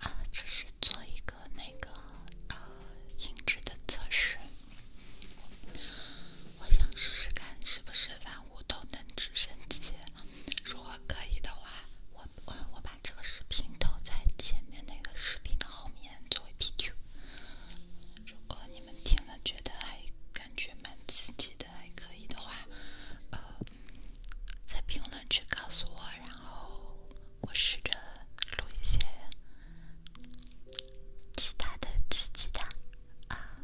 啊，这是做一个那个呃音质的测试，我想试试看是不是万物都能智升级。如果可以的话，我我我把这个视频投在前面那个视频的后面作为 PQ。如果你们听了觉得还感觉蛮刺激的，还可以的话，呃。在评论区告诉我，然后我试着录一些其他的自己的啊，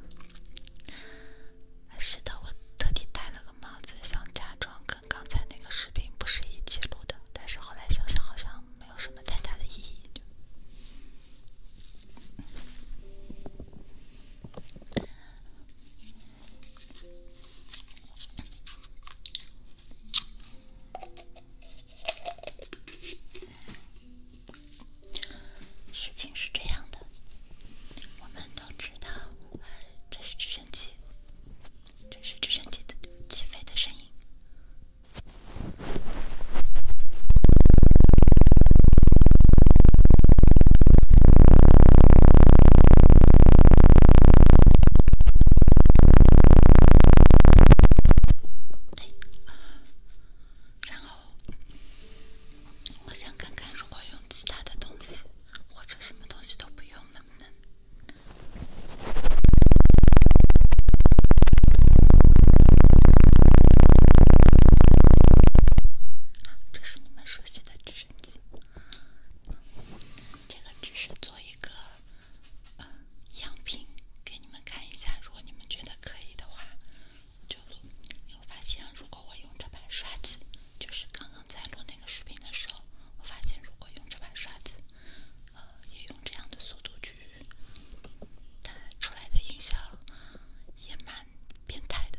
是的，我特地戴了个帽子，想假装跟刚才那个视频不是一起录的，但是后来想想好像没有什么太大的意义。事情是这样的，我们都知道，这是直升机，这是直升机的起飞的声音。然后，我想看看如果用其他的东西，或者什么东西都不用，能不能？这是你们熟悉的知识。这个只是做一个呃、样品给你们看一下，如果你们觉得可以的话就录。我发现，如果我用这把刷子，就是刚刚在录那个视频的时候，我发现如果用这把刷子，呃，也用这样的速度去，它出来的音效也蛮变态的。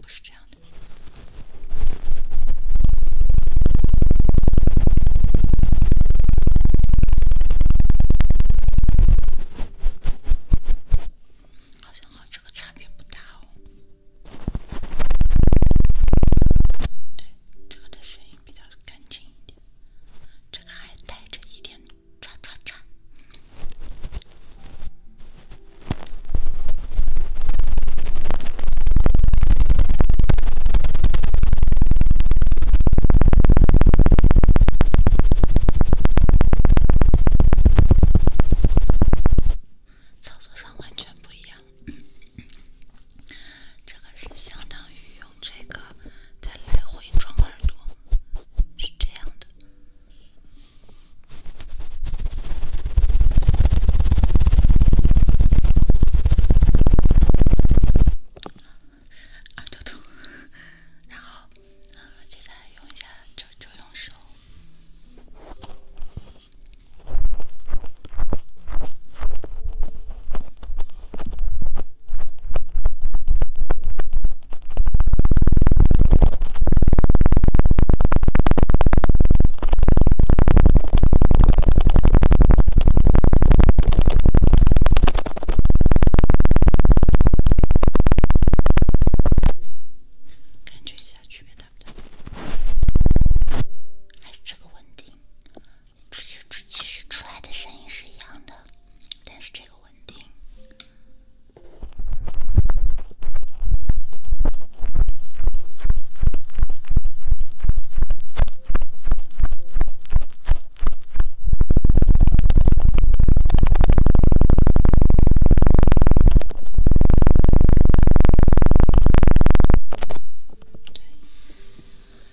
不是这样的，好像和这个差别不大哦。对，这个的声音比较干净一点，这个还带着一点唰唰唰。操作上完全不一样，这个是相当于用这个在来回装耳朵，是这样的。耳朵痛，然后啊，现在用一下，就就用手。感觉一下区别大不大？还是这个稳定？其实其实出来的声音是一样的，但是这个稳定。对，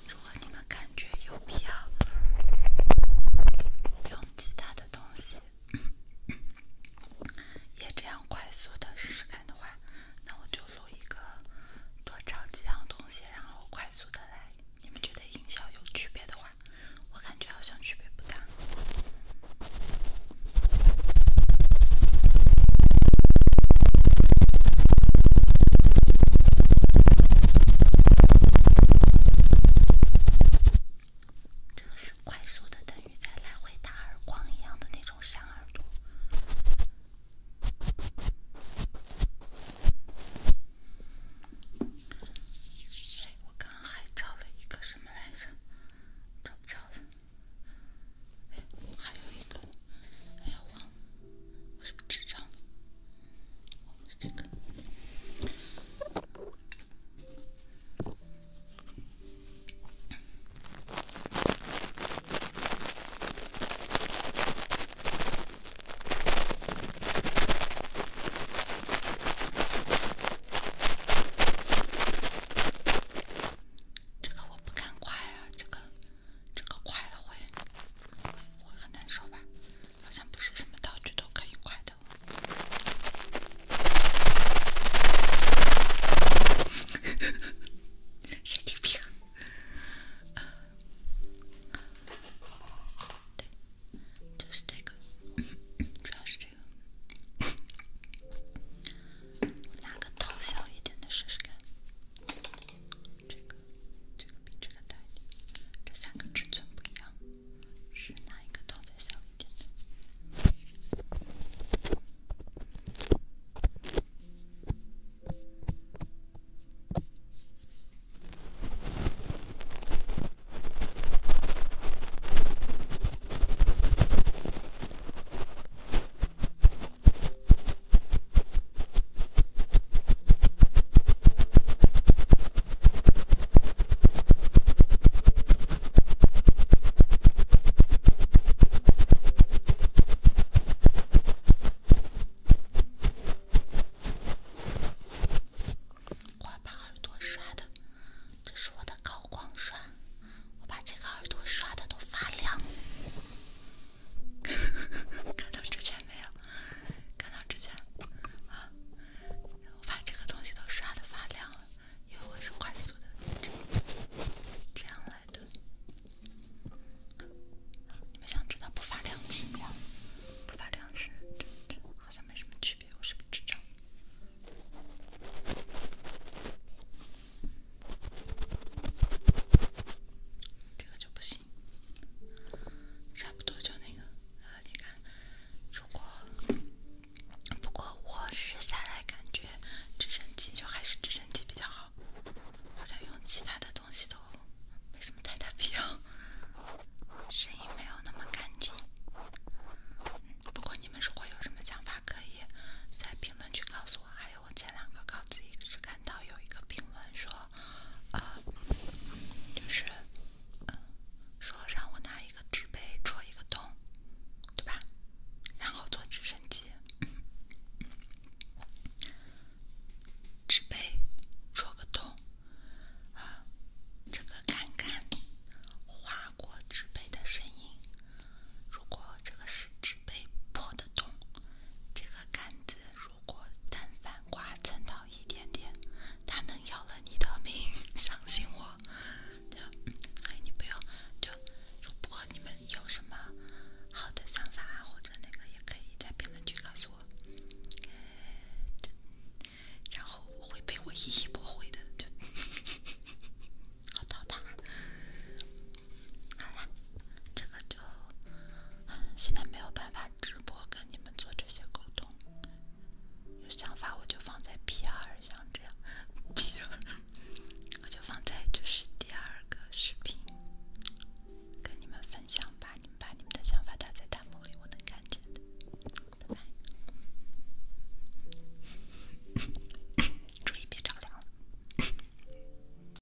如果你们感觉有必要用其他的东西。也这样快速的试试看的话，那我就录一个，多找几样东西，然后快速的来。你们觉得音效有区别的话，我感觉好像区别不大。这个是快速的，等于在来回打耳光一样的那种闪耳朵。我刚刚还照了一个什么来着？找不着了。哎，还有一个，哎呀，忘了，什么纸张？我们这个。这个我不敢快啊，这个，这个快了会，会很难受吧。好像不是什么道具都可以快的。神经病。对，就是这个，主要是这个。拿个头小一点的试试看。这个，这个比这个大一点。这三个尺寸不一样。是哪一个洞在小一点？的。我把耳朵刷的，这是我的高光刷，我把这个耳朵刷的都发亮，看到这圈没有？看到之前，啊，我把这个东西都刷的发亮了，因为我是快速的这样来的。你们想知道不发亮是什么？不发亮是这这，好像没什么区别，有什么之差？这个就不行。差不多就那个，呃，你看，如果不过我试下来感觉，直升机就还是直升机比较好，好像用其他的东西都没什么太大必要，声音没有那么干净。不过你们如果有什么想法，可以在评论区告诉我。还有我前两个稿子一直看到有一个评论说。啊，就是说让我拿一个纸杯戳一个洞，对吧？然后坐直升机，纸杯戳个洞，啊，这个杆杆划过纸杯的声音，如果这个是纸杯破的洞，这个杆子如。如果但凡夸张到一点点，它能要了你的命，相信我。就所以你不要就，如果你们有什么好的想法啊，或者那个也可以在评论区告诉我，然后会被我一一驳回的，就，好淘汰。好啦，这个就现在没有办法直播跟你们做这些沟通。有想法我就放在 P 二，像这样 P 二，我就放在这是第二个视频跟你们分享吧。你们把你们的想法打在弹幕里，我能看见的。拜拜，注意别着凉了。